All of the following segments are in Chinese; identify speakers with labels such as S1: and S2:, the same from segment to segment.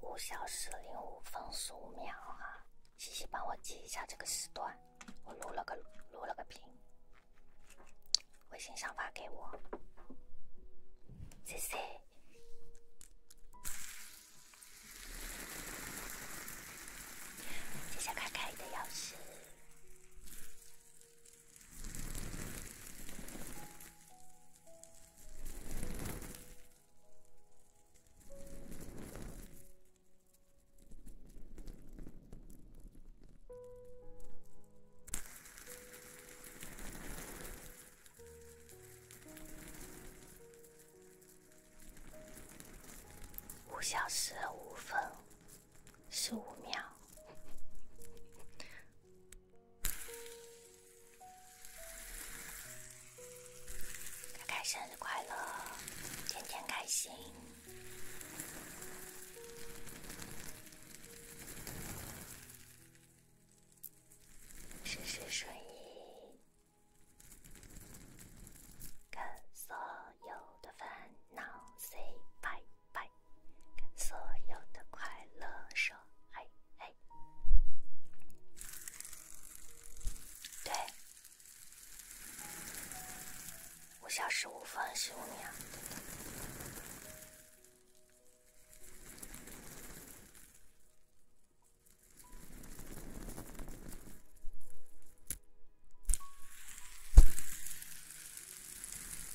S1: 五小时零五分十五秒哈，西西帮我记一下这个时段，我录了个录了个屏，微信上发给我，谢谢。谢谢凯凯的钥匙。五小时五分十五秒。开开，生日快乐！天天开心，事事顺意。跟所有的烦恼 say bye bye，跟所有的快乐说。嘿，嘿，对，我小时五分十五秒。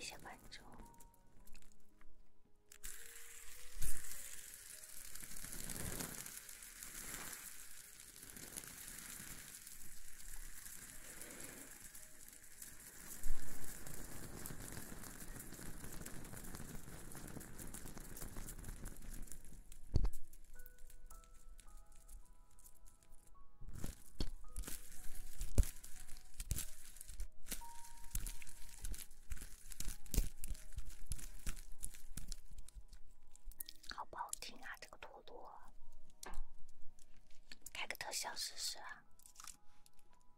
S1: 谢谢关注。好不好听啊？这个陀螺，开个特效试试啊！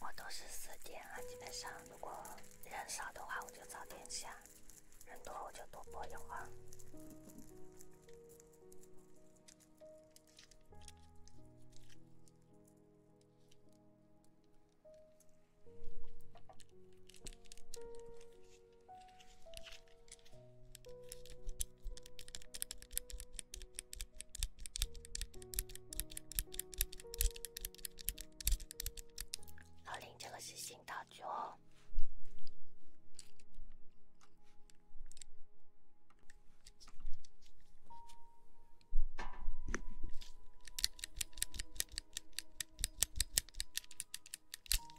S1: 我都是四点啊，基本上如果人少的话，我就早点下；人多我就多播一会儿。老林，这个是新道具哦。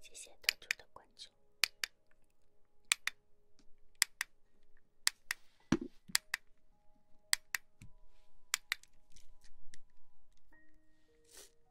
S1: 谢谢豆豆的关注。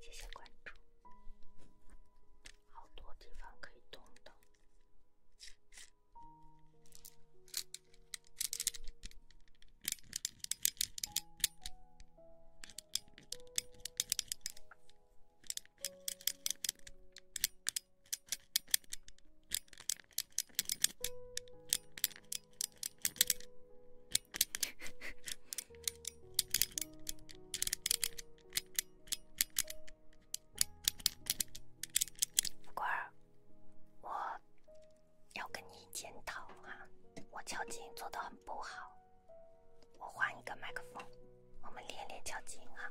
S1: 谢谢关注，好多地方可以动的。富官儿，我要跟你检讨啊！我敲击做的很不好，我换一个麦克风，我们练练敲击啊。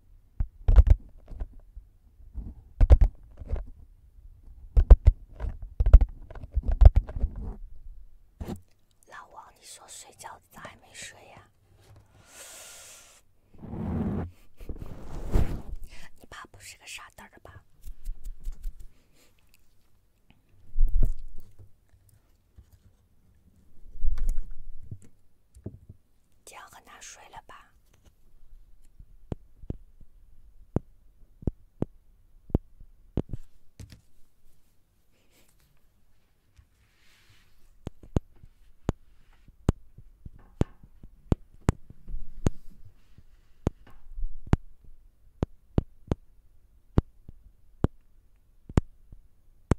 S1: 老王，你说睡觉咋还没睡呀？你怕不是个傻蛋儿吧？将和他睡了吧。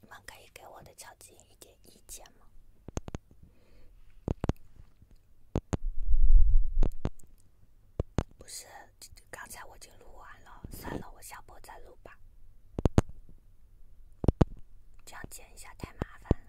S1: 你们可以给我的稿件一点意见吗？不是，刚才我已经录完了，算了，我下播再录吧。这样剪一下太麻烦。了。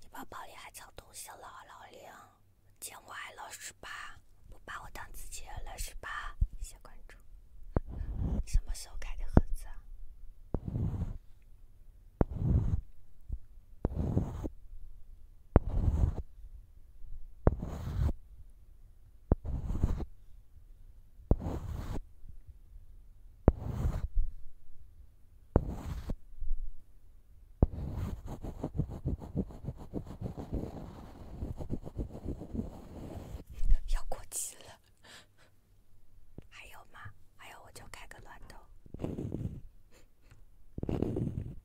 S1: 你包包里还藏东西了，老林，见外了是吧？不把我当自己人了是吧？谢谢关注。什么时候开的盒子？啊？要过期了，还有吗？还有我就开个乱斗。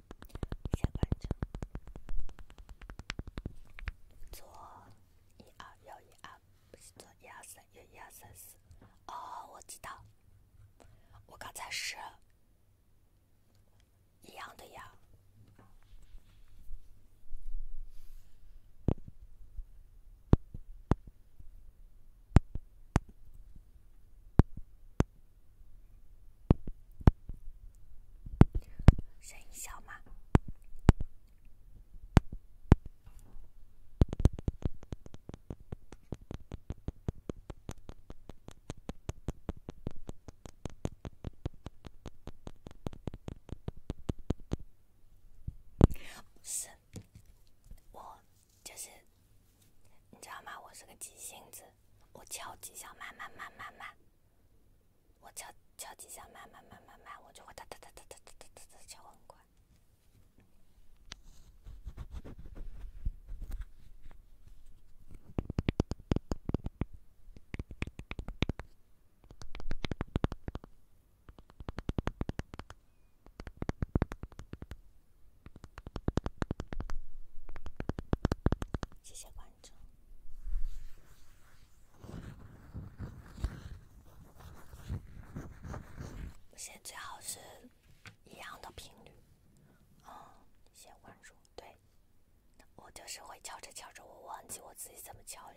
S1: 下半球，左一二右一二，不行，左一二三右一二三四。哦，我知道，我刚才是一样的呀。声音小吗？不是，我就是。你知道吗？我是个急性子，我敲几下慢慢慢慢慢，我敲敲几下慢慢慢慢慢，我就会哒哒哒哒哒哒哒哒敲很快。谢谢关注。现在最好是一样的频率。啊，谢谢关注。对，我就是会敲着敲着，我忘记我自己怎么敲了。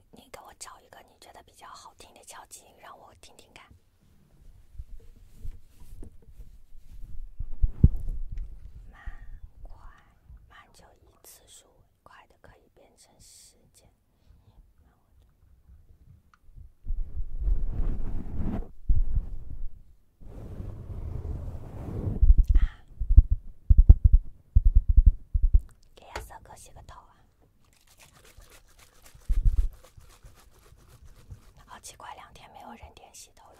S1: 你给我找一个你觉得比较好听的敲击音，让我听听看。慢快慢就以次数，快的可以变成时间。给阿三哥洗个头啊！好奇怪，两天没有人点洗头了。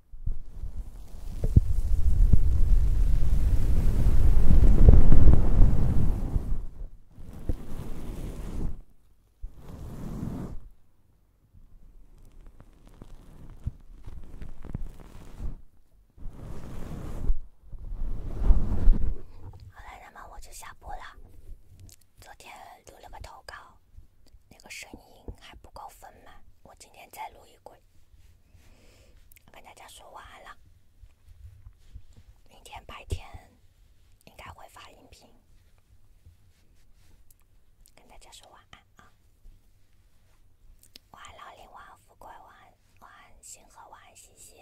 S1: 好了，那么我就下播了。昨天录了个投稿，那个声音还不够丰满，我今天再录一。鬼，跟大家说晚安了。明天白天应该会发音频，跟大家说晚安啊！晚安老林，晚安富贵，晚安晚安星河，晚安西西。